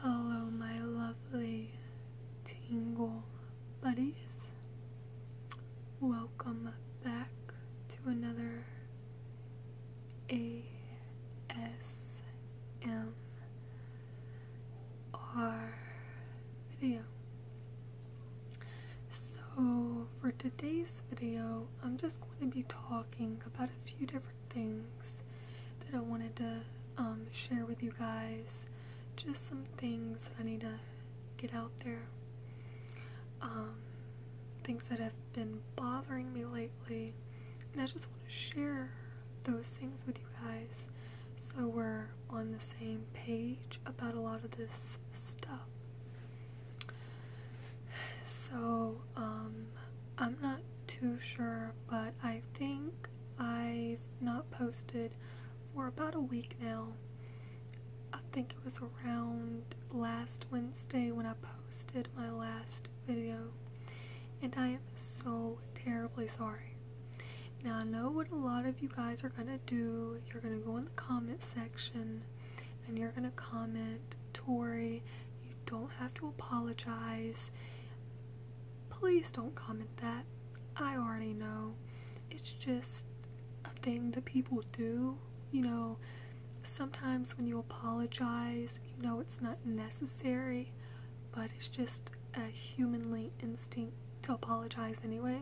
Hello, my lovely tingle buddies. Welcome back to another ASMR video. So, for today's video, I'm just going to be talking about a few different things that I wanted to um, share with you guys. Just some things that I need to get out there. Um, things that have been bothering me lately. And I just want to share those things with you guys so we're on the same page about a lot of this stuff. So, um, I'm not too sure, but I think I've not posted for about a week now. I think it was around last Wednesday when I posted my last video, and I am so terribly sorry. Now, I know what a lot of you guys are going to do. You're going to go in the comment section and you're going to comment, Tori, you don't have to apologize. Please don't comment that. I already know. It's just a thing that people do. You know, sometimes when you apologize, you know it's not necessary, but it's just a humanly instinct to apologize anyway.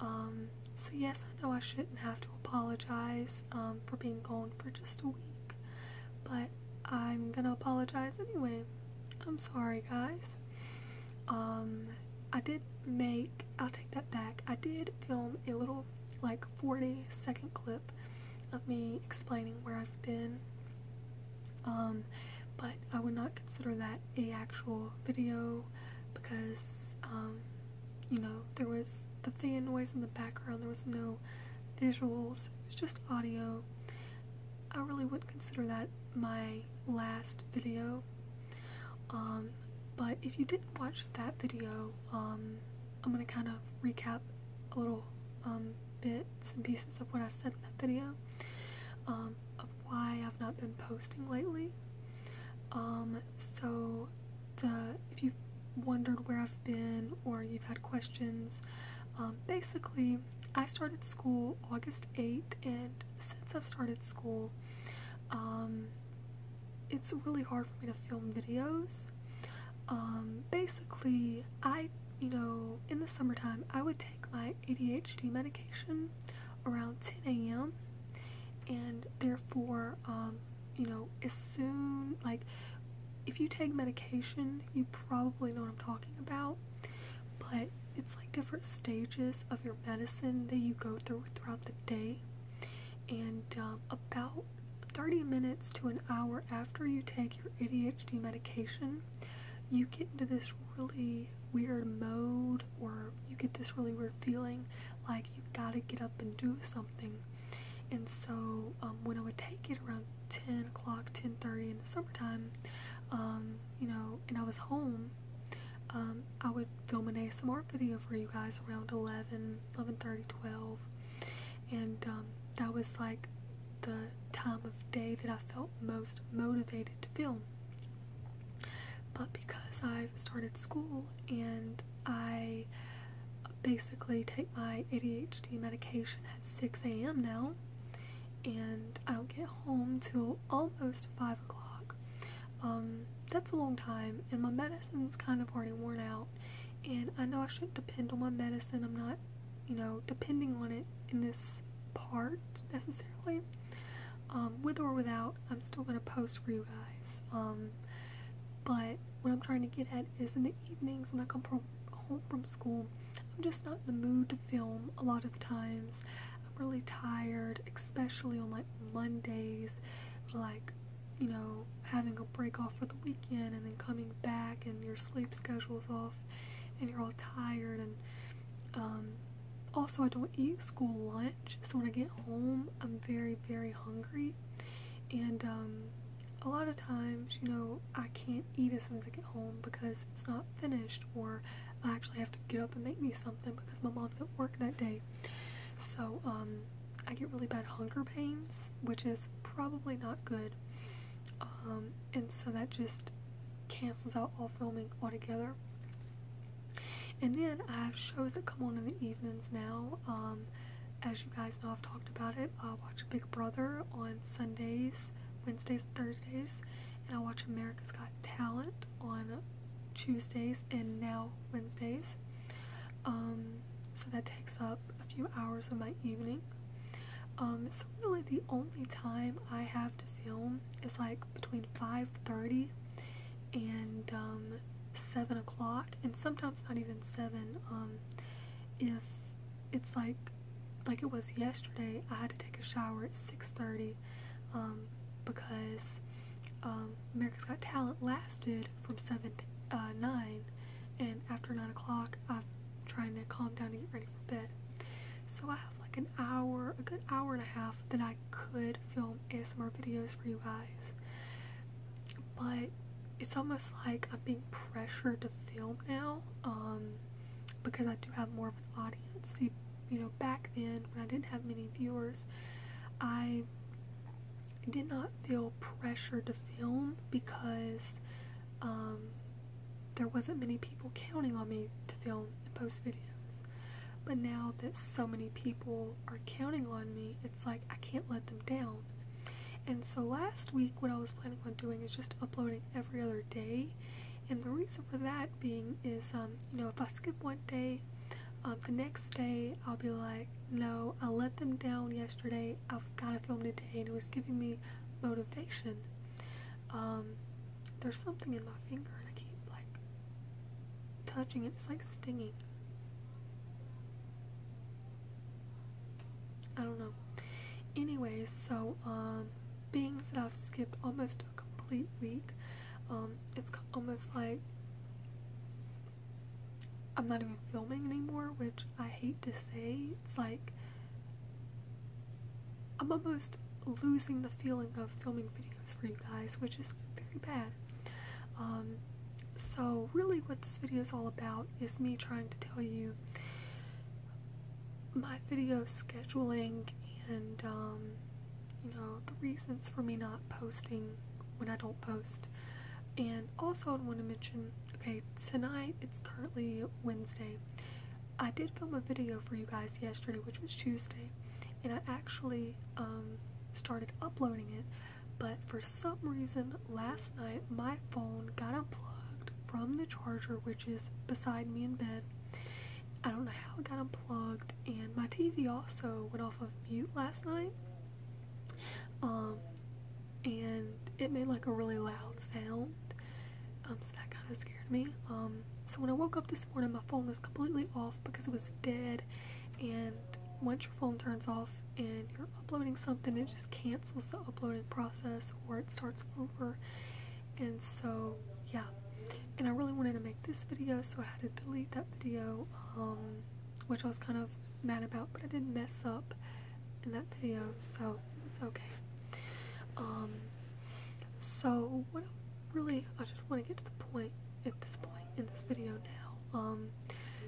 Um, so yes, I know I shouldn't have to apologize um, for being gone for just a week. But I'm gonna apologize anyway. I'm sorry, guys. Um, I did make, I'll take that back. I did film a little, like, 40 second clip of me explaining where I've been. Um, but I would not consider that a actual video because, um, you know, there was the fan noise in the background. There was no visuals, it was just audio. I really would not consider that my last video. Um, but if you didn't watch that video, um, I'm gonna kind of recap a little um, bits and pieces of what I said in that video, of why I've not been posting lately. so uh, if you've wondered where I've been or you've had questions, um, basically, I started school August 8th, and since I've started school, um, it's really hard for me to film videos. Um, basically, I, you know, in the summertime, I would take my ADHD medication around 10 a.m., and therefore, you know, as soon, like, if you take medication, you probably know what I'm talking about, but it's like different stages of your medicine that you go through throughout the day. And um, about 30 minutes to an hour after you take your ADHD medication, you get into this really weird mode or you get this really weird feeling like you gotta get up and do something and so um, when i would take it around 10 o'clock 10.30 in the summertime um, you know and i was home um, i would film an asmr video for you guys around 11 11.30 12 and that was like the time of day that i felt most motivated to film but because i started school and I basically take my ADHD medication at 6 a.m. now, and I don't get home till almost 5 o'clock. Um, that's a long time, and my medicine's kind of already worn out, and I know I shouldn't depend on my medicine. I'm not, you know, depending on it in this part necessarily. Um, with or without, I'm still going to post for you guys. Um, but what I'm trying to get at is in the evenings when I come home from school, I'm just not in the mood to film a lot of times. I'm really tired, especially on like Mondays, like you know, having a break off for the weekend and then coming back and your sleep schedule is off and you're all tired and um, also I don't eat school lunch so when I get home I'm very very hungry and um, a lot of times, you know, I can't eat as soon as I get home because it's not finished, or I actually have to get up and make me something because my mom's at work that day. So um, I get really bad hunger pains, which is probably not good. Um, and so that just cancels out all filming altogether. And then I have shows that come on in the evenings now. as you guys guys I've talked about it. I watch Big Brother on Sundays, Wednesdays, Thursdays, and I watch America's Got Talent on Tuesdays and now Wednesdays. Um, so that takes up a few hours of my evening. It's um, really the only time I have to film is like between 5.30 and um, 7 o'clock and sometimes not even seven. Um, if it's like like it was yesterday, I had to take a shower at six thirty um, because um, America's Got Talent lasted from seven uh, nine, and after nine o'clock, I'm trying to calm down and get ready for bed. So I have like an hour, a good hour and a half that I could film ASMR videos for you guys but it's almost like I'm being pressured to film now um, because I do have more of an audience. you know, back then when I didn't have many viewers, I did not feel pressure to film because um, there wasn't many people counting on me to film and post videos. But now that so many people are counting on me, it's like I can't let them down. And so last week, what I was planning on doing is just uploading every other day. And the reason for that being is, um, you know, if I skip one day, um, the next day I'll be like, no, I let them down yesterday. I've got to film today, and it was giving me motivation. Um, there's something in my finger, and I keep like touching it. It's like stinging. I don't know. Anyway, so um, being that I've skipped almost a complete week, um, it's almost like I'm not even filming anymore, which I hate to say. It's like I'm almost losing the feeling of filming videos for you guys, which is very bad. Um, so, really, what this video is all about is me trying to tell you my video scheduling and, um, you know, the reasons for me not posting when I don't post. And also, I want to mention okay, tonight it's currently Wednesday. I did film a video for you guys yesterday, which was Tuesday, and I actually um, started uploading it. But for some reason, last night my phone got unplugged from the charger, which is beside me in bed. I don't know how it got unplugged, and my TV also went off of mute last night. Um, and it made like a really loud sound, um, so that kind of scared me. Um, so when I woke up this morning, my phone was completely off because it was dead, and once your phone turns off and you're uploading something, it just cancels the uploading process or it starts over. And so, yeah. And I really wanted to make this video, so I had to delete that video, um, which I was kind of mad about, but I didn't mess up in that video, so it's okay. Um, so, what I really, I just want to get to the point at this point in this video now. Um,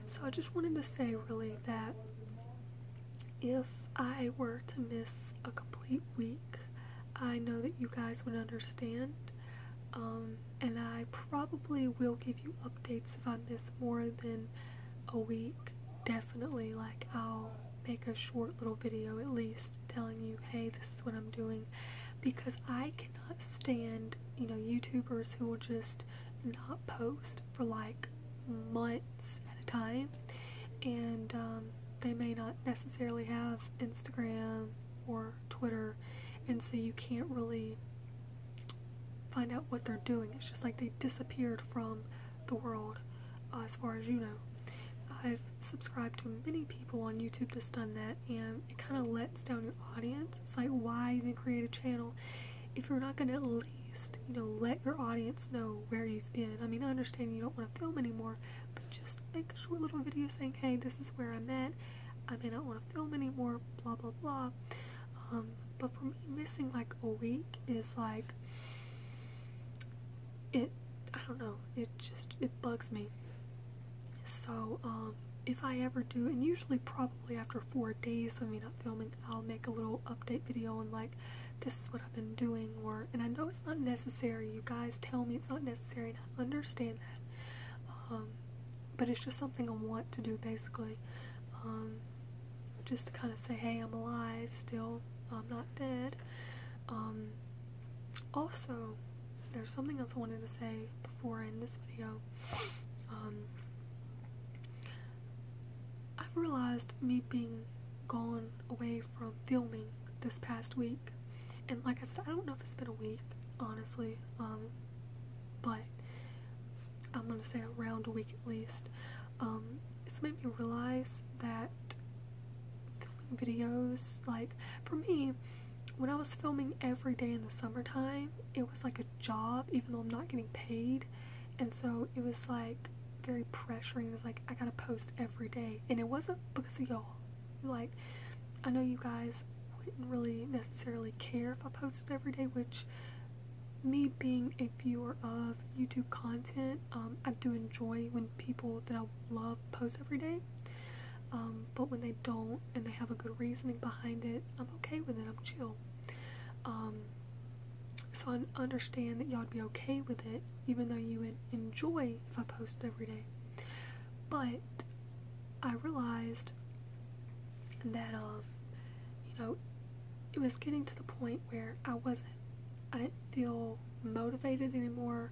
so I just wanted to say really that if I were to miss a complete week, I know that you guys would understand. Um, and I probably will give you updates if I miss more than a week. Definitely, like, I'll make a short little video at least telling you, hey, this is what I'm doing. Because I can cannot stand, you know, YouTubers who will just not post for like months at a time. And um, they may not necessarily have Instagram or Twitter, and so you can't really find out what they're doing. It's just like they disappeared from the world, uh, as far as you know. I've subscribed to many people on YouTube that's done that, and it kind of lets down your audience. It's like, why even create a channel if you're not going to at least, you know, let your audience know where you've been? I mean, I understand you don't want to film anymore, but just make a short little video saying, hey, this is where I'm at. I may not want to film anymore, blah, blah, blah. Um, but for me, missing like a week is like, it, I don't know, it just, it bugs me. So, um, if I ever do, and usually probably after four days of me not filming, I'll make a little update video and like, this is what I've been doing, or, and I know it's not necessary, you guys tell me it's not necessary, and I understand that, um, but it's just something I want to do basically, um, just to kind of say, hey, I'm alive still, I'm not dead, also, there's something else I wanted to say before I end this video. Um, I've realized me being gone away from filming this past week, and like I said, I don't know if it's been a week, honestly, um, but I'm gonna say around a week at least. Um, it's made me realize that filming videos, like, for me, when I was filming every day in the summertime, it was like a job, even though I'm not getting paid. And so it was like very pressuring. It was like, I gotta post every day. And it wasn't because of y'all. Like, I know you guys wouldn't really necessarily care if I posted every day, which me being a viewer of YouTube content, um, I do enjoy when people that I love post every day. Um, but when they don't and they have a good reasoning behind it, I'm okay with it. I'm chill. Um, so I understand that y'all'd be okay with it, even though you would enjoy if I posted every day. But I realized that, um, you know, it was getting to the point where I wasn't, I didn't feel motivated anymore,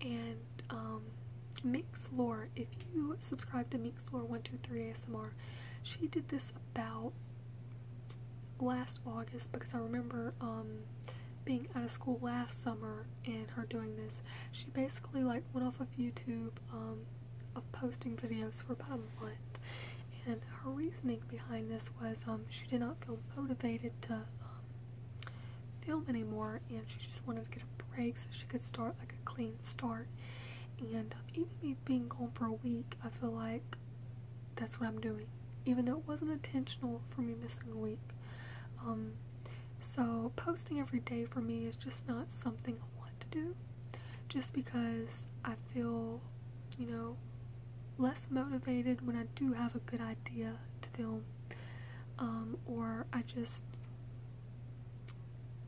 and Mixlore, if you subscribe to Mixlore123 ASMR, she did this about last August because I remember um, being out of school last summer and her doing this. She basically like went off of YouTube um, of posting videos for about a month and her reasoning behind this was um, she did not feel motivated to film anymore and she just wanted to get a break so she could start like a clean start. And um, even me being gone for a week, I feel like that's what I'm doing. Even though it wasn't intentional for me missing a week. Um, so posting every day for me is just not something I want to do. Just because I feel, you know, less motivated when I do have a good idea to film. Um, or I just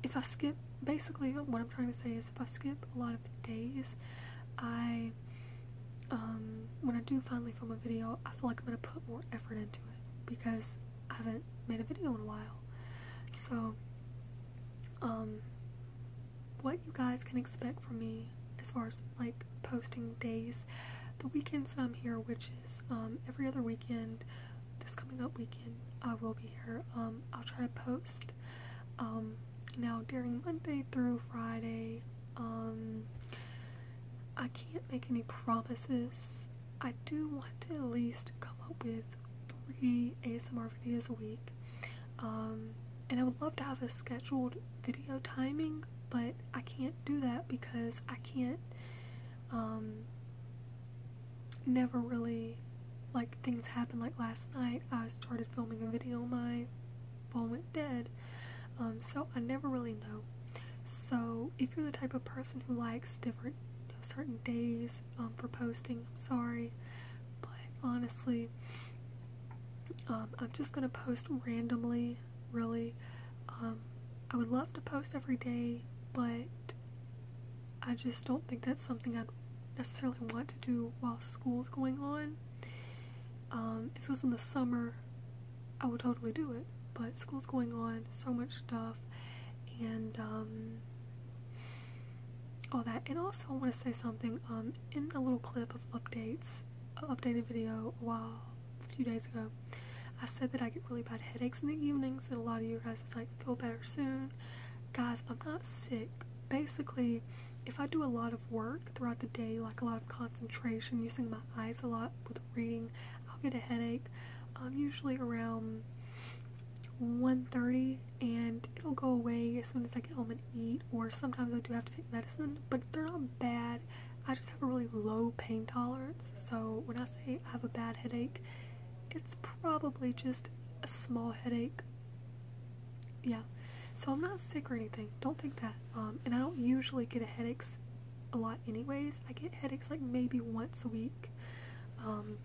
if I skip, basically, what I'm trying to say is if I skip a lot of days, I, um, when I do finally film a video, I feel like I'm going to put more effort into it because I haven't made a video in a while. So, um, what you guys can expect from me as far as like posting days, the weekends that I'm here, which is um, every other weekend, this coming up week I will be here. Um, I'll try to post. Um, now during Monday through Friday, um, I can't make any promises. I do want to at least come up with three ASMR videos a week. and I would love to have a scheduled video timing, but I can't do that because I can't never really like things happen. like last night I started filming a video my phone went dead um, so I never really know so if you're the type of person who likes different certain days um, for posting I'm sorry but honestly um, I'm just gonna post randomly really I would love to post every day but I just don't think that's something I'd necessarily want to do while school's going on. Um, if it was in the summer, I would totally do it, but school's going on, so much stuff, and um, all that. And also, I want to say something um, in the little clip of updates, updated video a while, a few days ago, I said that I get really bad headaches in the evenings, and a lot of you guys was like, feel better soon. Guys, I'm not sick. Basically, if I do a lot of work throughout the day, like a lot of concentration, using my eyes a lot with reading, I'll get a headache. Um, usually around 1.30 and it'll go away as soon as I get home and eat or sometimes I do have to take medicine but they're not bad I just have a really low pain tolerance so when I say I have a bad headache it's probably just a small headache. Yeah, so I'm not sick or anything. Don't think that. Um, and I don't usually get headaches a lot, anyways. I get headaches like maybe once a week. Um,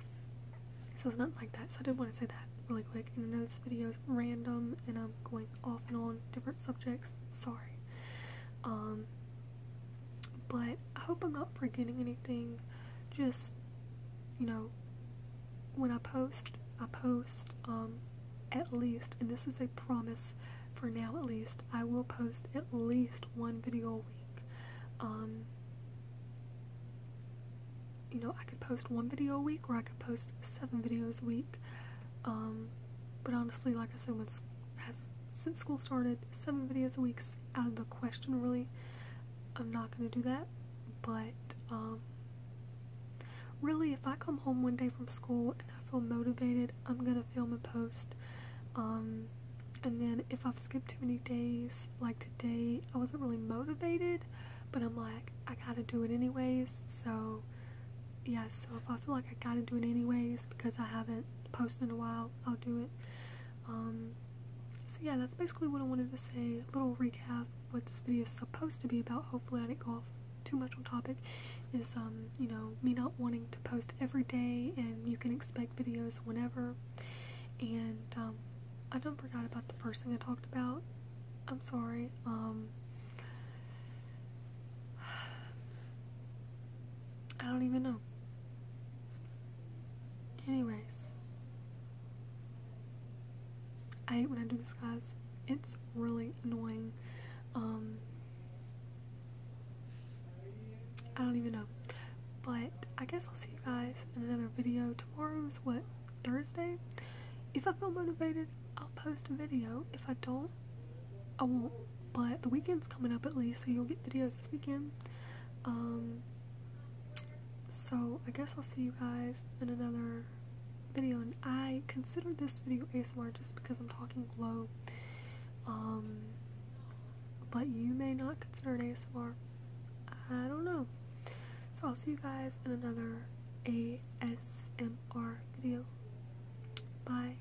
so it's not like that. So I did not want to say that really quick. And I know this video is random, and I'm going off and on different subjects. Sorry. Um, but I hope I'm not forgetting anything. Just, you know, when I post, I post um, at least, and this is a promise for now at least, I will post at least one video a week. Um, you know, I could post one video a week or I could post seven videos a week. Um, but honestly, like I said, when since school started, seven videos a week out of the question, really. I'm not gonna do that, but um, really, if I come home one day from school and I feel motivated, I'm gonna film a post. Um, and then if I've skipped too many days, like today, I wasn't really motivated, but I'm like, I gotta do it anyways. So, yeah, so if I feel like I gotta do it anyways because I haven't posted in a while, I'll do it. Um, so yeah, that's basically what I wanted to say. A little recap what this video is supposed to be about. Hopefully I didn't go off too much on topic. Is, um, you know, me not wanting to post every day and you can expect videos whenever. And, um, I don't forgot about the first thing I talked about. I'm sorry. I don't even know. Anyways, I hate when I do this, guys. It's really annoying. Um, I don't even know. But I guess I'll see you guys in another video. tomorrow. Is what? Thursday? If I feel motivated, I'll post a video. If I don't, I won't, but the weekend's coming up at least, so you'll get videos this weekend. Um, so I guess I'll see you guys in another video. And I consider this video ASMR just because I'm talking low. Um, but you may not consider it ASMR. I don't know. So I'll see you guys in another ASMR video. Bye.